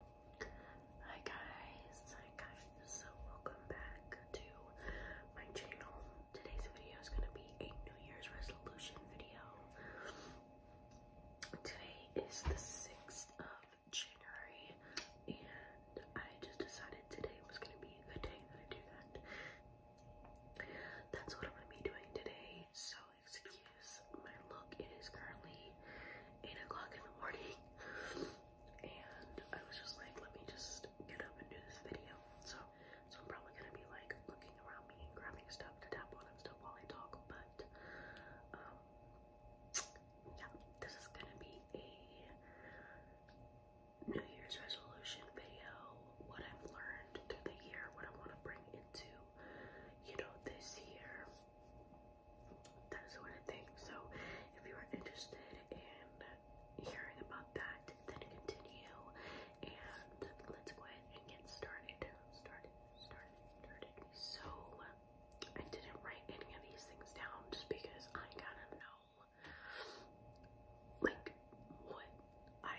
Hi guys, hi guys, so welcome back to my channel. Today's video is going to be a New Year's resolution video. Today is the 6th of January and I just decided today was going to be a good day that I do that. That's what I'm going to be doing today, so excuse my look. It is currently 8 o'clock in the morning. and I was just like, let me just get up and do this video. So, so I'm probably gonna be like looking around me and grabbing stuff to tap on and stuff while I talk. But, um, yeah, this is gonna be a New Year's resolution video. What I've learned through the year, what I want to bring into, you know, this year that sort of thing. So if you are interested in hearing about that, then continue and let's go ahead and get started. Started, started, started. So I didn't write any of these things down just because I kind of know like what I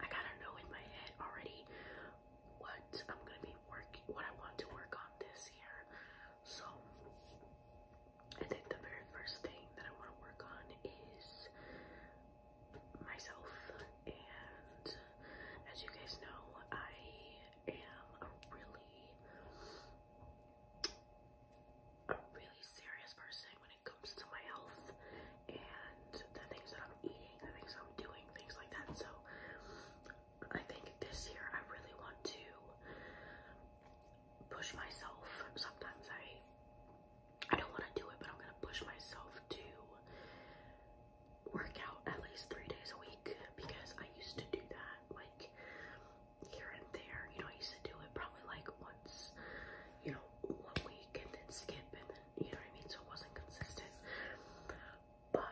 I kind of know in my head already what I'm gonna be working, what I want to work on this year. So I think the very first thing that I want to work on is myself. And as you guys know, I am a really, a really serious person when it comes to my health and the things that I'm eating saying, the things I'm doing, things like that. So I think this year I really want to push myself. Sometimes I I don't want to do it, but I'm gonna push myself to work out at least three days a week because I used to do that like here and there. You know, I used to do it probably like once, you know, one week and then skip and then you know what I mean. So it wasn't consistent. But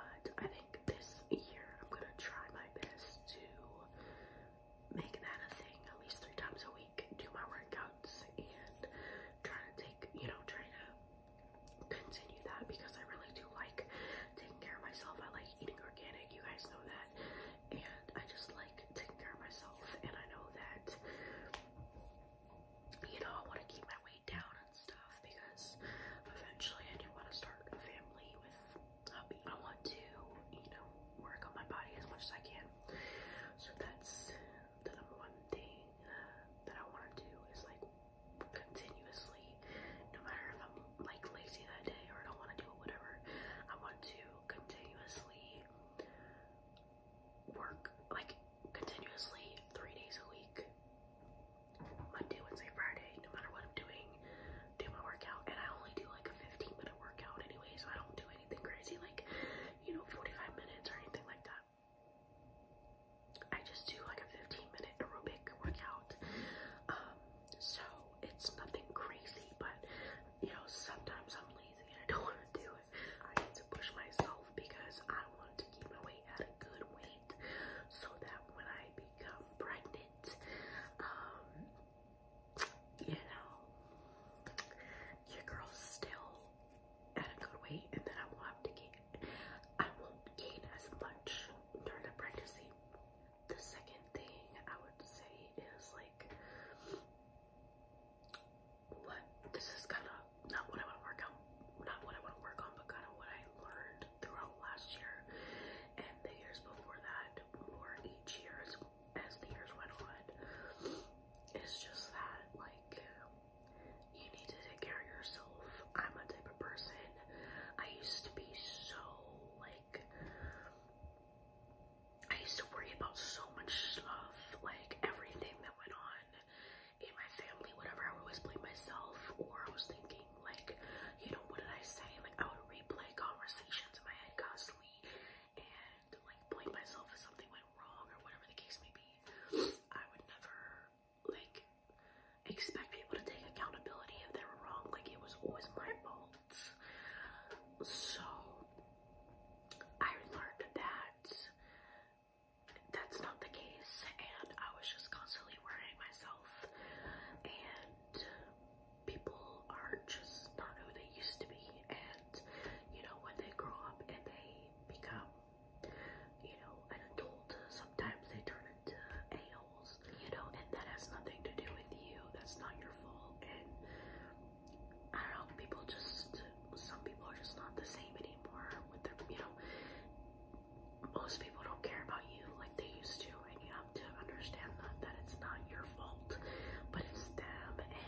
I think this year I'm gonna try my best to make that a thing at least three times a week, do my workouts and try to take, you know, try to continue that because I really do like taking care of myself. I like eating organic, you guys know that. And I just like taking care of myself and I know that you know, I want to keep my weight down and stuff because eventually I do want to start a family with hubby. I want to, you know, work on my body as much as I can. So that's the number one thing uh, that I want to do is like continuously, no matter if I'm like lazy that day or don't want to do it, whatever, I want to continuously work like continuously three days a week. Monday, Wednesday, Friday, no matter what I'm doing, do my workout. And I only do like a 15 minute workout anyway, so I don't do anything crazy like, you know, 45 minutes or anything like that. I just do like a 15 minute aerobic workout. Um, so it's nothing crazy, but you know, sometimes I'm lazy and I don't want to do it. I need to push myself because I want to keep my weight at a good weight so that when I become pregnant, um, you know, your girl's still at a good weight and then I won't have to gain, I won't gain as much during the pregnancy. The second thing I would say is like but this is kind of not what I want to work on, not what I want to work on, but kind of what I learned throughout last year and the years before that, more each year as, as the years went on. It's just that, like, you need to take care of yourself. I'm a type of person. I used to be so, like, I used to worry about so much stuff, like everything that went on in my family, whatever, I would always blame myself, or I was thinking, like, you know, what did I say? Like, I would replay conversations in my head constantly and, like, blame myself if something went wrong or whatever the case may be. I would never, like, expect people to take accountability if they were wrong. Like, it was always my fault. So, I learned that that's not the case and I was just constantly worrying myself and people are just not who they used to be and you know when they grow up and they become you know an adult sometimes they turn into a-holes you know and that has nothing to do with you that's not your fault and I don't know people just some people are just not the same anymore with their, you know, most people don't care about you like they used to and you have to understand that, that it's not your fault, but it's them and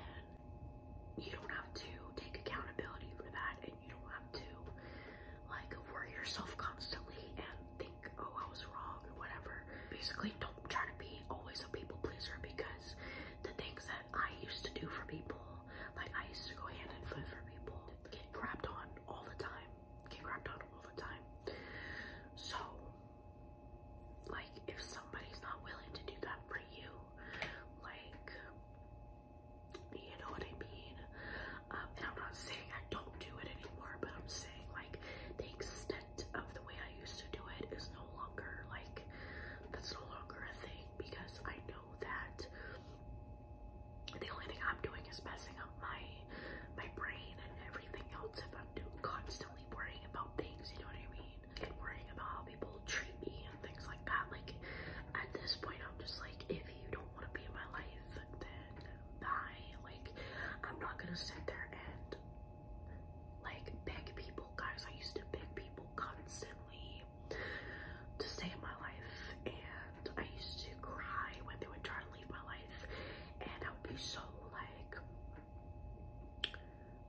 you don't have to take accountability for that and you don't have to like worry yourself constantly and think, oh, I was wrong or whatever. Basically, don't try to be always a people pleaser because the things that I used to do for people like I used to go hand and foot for people, get grabbed on all the time, get grabbed on all the time. So, like if somebody's not willing to do that for you, like you know what I mean? Um, and I'm not saying I don't do it anymore, but I'm saying like the extent of the way I used to do it is no longer like that's no longer a thing because I know know that the only thing I'm doing is messing up my my brain and everything else if I'm do constantly worrying about things, you know what I mean? And worrying about how people treat me and things like that. Like at this point I'm just like if you don't want to be in my life then bye. Like I'm not gonna sit there and like beg people guys. I used to beg people constantly to stay in my life. And I used to cry when they would try to leave my life. And I would be so like,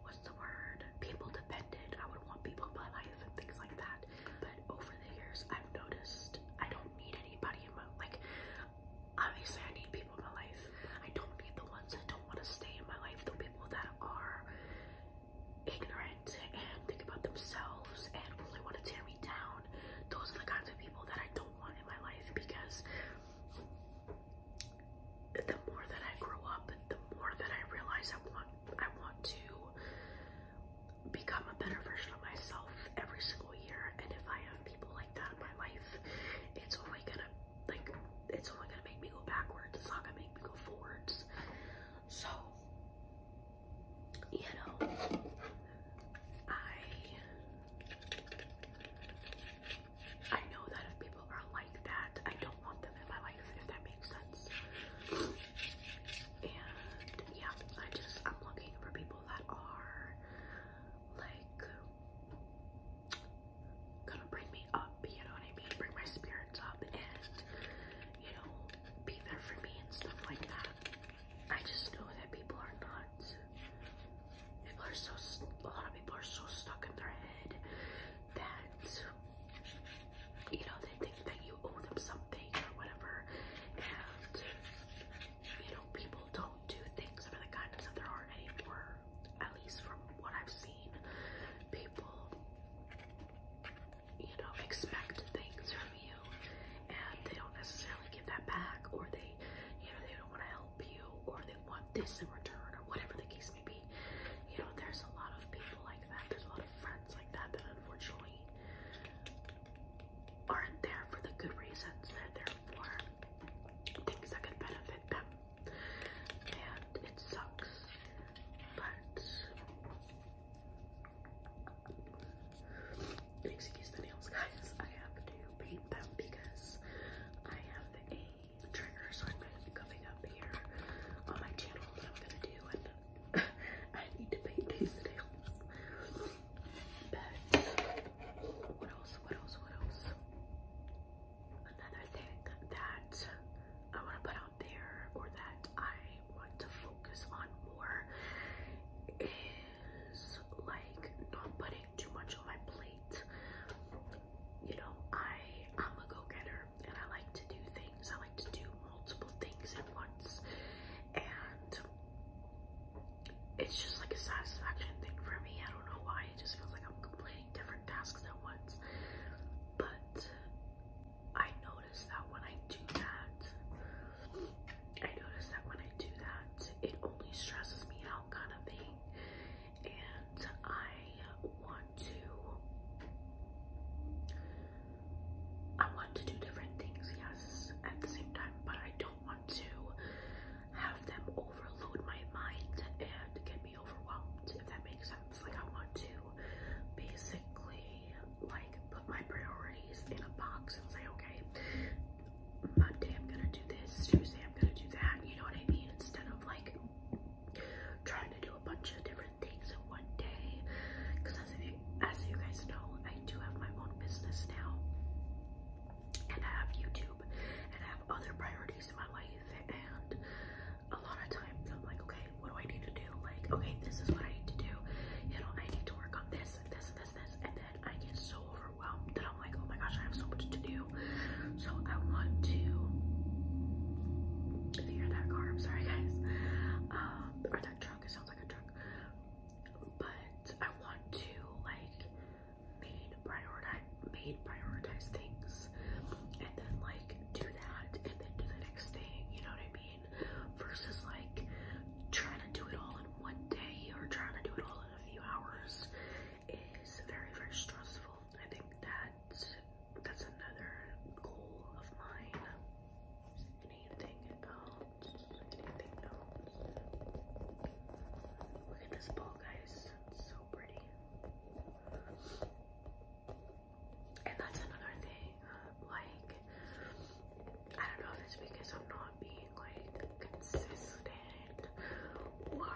what's the word? People dependent. I would want people in my life and things like that. But over the years, I've noticed I don't need anybody in my like. Obviously, I need people in my life. I don't need the ones that don't want to stay in my life. The people that are ignorant and think about themselves and only want to tear me down. Those are the kinds of people that I don't want in my life because the more that I grow up, the more that I realize I want I want to become a better version of myself every single year. And if I have people like that in my life, it's only gonna like it's only gonna make me go backwards. It's not gonna make me go forwards. So you know, I I know that if people are like that, I don't want them in my life, if that makes sense. And yeah, I just I'm looking for people that are like gonna bring me up, you know what I mean? Bring my spirits up and you know, be there for me and stuff like that. I just know that people are not, people are so, a lot of people are so stuck in their head that, you know, they think that you owe them something or whatever. And, you know, people don't do things under the guidance of their heart anymore. At least from what I've seen, people you know, expect things from you and they don't necessarily give that back or they, you know, they don't want to help you or they want this in return or whatever the case may be. You know, there's a lot of people like that. There's a lot of friends like that that unfortunately aren't there for the good reasons. They're for things that could benefit them. And it sucks excuse the nails, guys. I have to paint them because I have a trigger, so I'm going to be coming up here on my channel that I'm going to do, and I need to paint these nails. But what else? What else? What else? Another thing that I want to put out there or that I want to focus on more is like not putting too much on my plate. You know, I I'm a go-getter and I like to do things. I like to do multiple things at once. And it's just like a satisfaction thing for me. I don't know why. It just feels like I'm completing different tasks at once. But I notice that when I do that, I notice that when I do that, it only stresses me out kind of thing. And I want to, I want to do different things, yes, at the same time, but I don't want to have them overload my mind and get overwhelmed, if that makes sense. Like, I want to basically, like, put my priorities in a box and say, okay, Monday I'm gonna do this, Tuesday I'm gonna do that, you know what I mean? Instead of, like, trying to do a bunch of different things in one day. Because as, you guys know, I do have my own business now. And I have YouTube and I have other priorities in my life a lot of times I'm like, okay, what do I need to do? Like, okay, this is what I need to do. You know, I need to work on this and this this this. And then I get so overwhelmed that I'm like, oh my gosh, I have so much to do. So I want to, if that car, sorry guys. Um, or that truck, it sounds like a truck. But I want to like made prioritize, made prioritize things and then like do that and then do the next thing, you know what I mean? Versus like trying to do it all in one day or trying to do it all in a few hours is very, very stressful. I think that that's another goal of mine. Anything else? Anything else? Look at this ball, guys. It's so pretty and that's another thing. like, I don't know if it's because I'm not being like consistent, or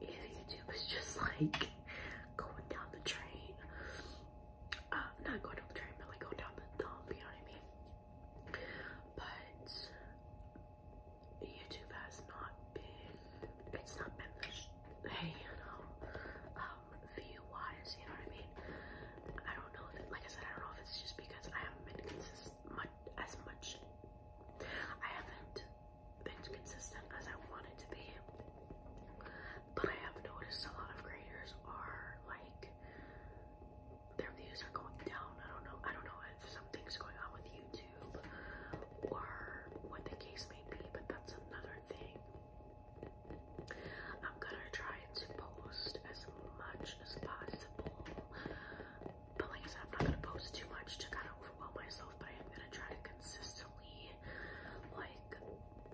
if YouTube is just like going down the train. Uh, not going down the train, but like going down the dump. You know what I mean? But YouTube has not been it's not been hey, you know, um, view wise, you know what I mean? I don't know like I said, I don't know if it's just because I haven't been consistent as much I haven't been consistent as I wanted to be. But I have noticed a lot of creators are like their views are going down. I don't know. I don't know if something's going on with YouTube or what the case may be, but that's another thing. I'm gonna try to post as much as possible. But like I said, I'm not gonna post too much to kind of overwhelm myself, but I am gonna try to consistently like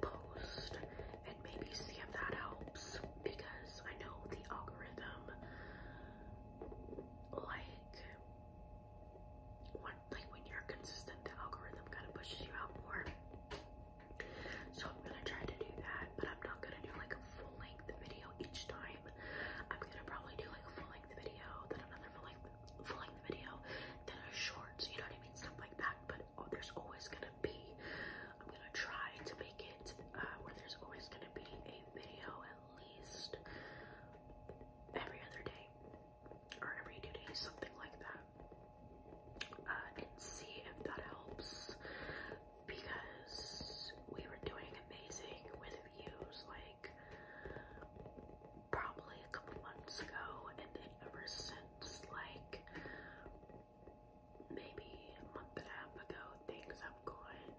post and maybe see if that helps because I know the algorithm like when, like when you're consistent, the algorithm kind of pushes you out more. So I'm gonna try to do that, but I'm not gonna do like a full length video each time. I'm gonna probably do like a full length video, then another full length, full length video, then a short. So you know what I mean, stuff like that. But oh, there's always gonna be. I'm gonna try to make it uh, where there's always gonna be a video at least every other day or every something like that, uh, and see if that helps because we were doing amazing with views like probably a couple months ago, and then ever since, like maybe a month and a half ago, things have gone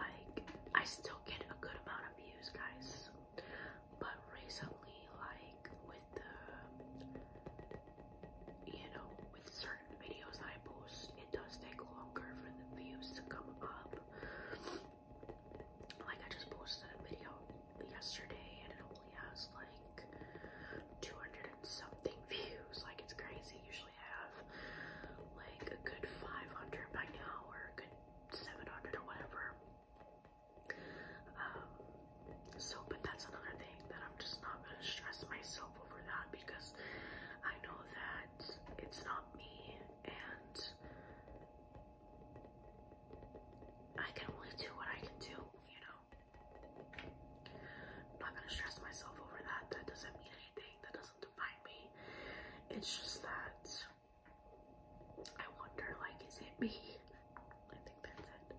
like I still get a good amount of views, guys. But recently, like with the, you know, with certain videos I post, it does take longer for the views to come up. Like I just posted a video yesterday and it only has like 200 and something views. Like it's crazy. Usually I have like a good 500 by now or a good 700 or whatever. Um, so, but that's another thing that I'm just not gonna stress myself over that because I know that it's not me and I can only do what I can do, you know. I'm not gonna stress myself over that. That doesn't mean anything, that doesn't define me. It's just that I wonder, like, is it me? I think that's it.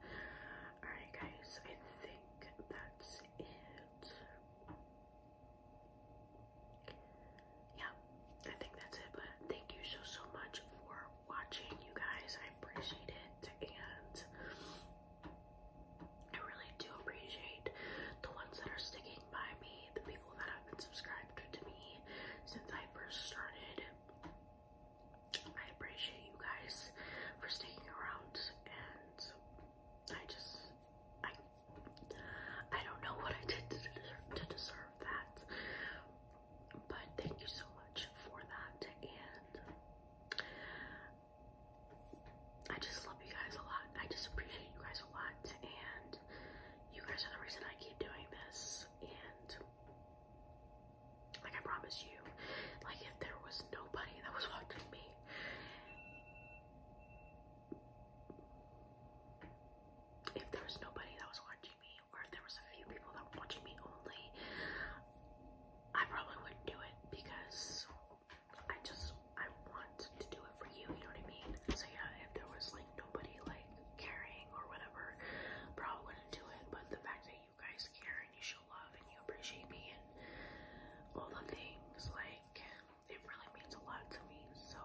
Alright, guys, I think that's it. Yeah, I think that's it. But thank you so, so much for watching, you guys. I appreciate it. And I really do appreciate the ones that are sticking by me, the people that have been subscribed to me since I first started. I appreciate you guys for sticking around and I just I I don't know what I did deserve, to deserve that. But thank you so much for that and I just love you guys a lot. I just appreciate you guys a lot and you guys are the reason I keep doing this, and like I promise you, like if there was nobody that was watching me, if there was nobody that was watching me, or if there was a few people that were watching me only, I probably wouldn't do it because I just I want to do it for you, you know what I mean? So yeah, if there was like nobody like caring or whatever, probably wouldn't do it. But the fact that you guys care and you show love and you appreciate me and all the things, like it really means a lot to me. So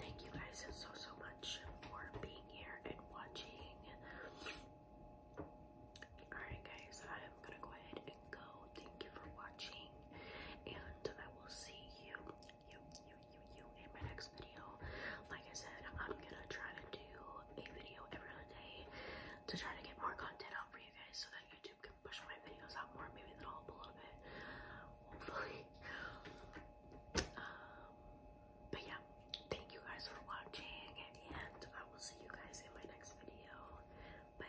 thank you guys so so much for being here and watching. Alright guys, I'm gonna go ahead and go. Thank you for watching and I will see you you, you, you, you in my next video. Like I said, I'm gonna try to do a video every other day to try to get more content out for you guys so that YouTube can push my videos out more. Maybe that'll help a little bit, hopefully. Um, but yeah, thank you guys for watching, and I will see you guys in my next video. Bye.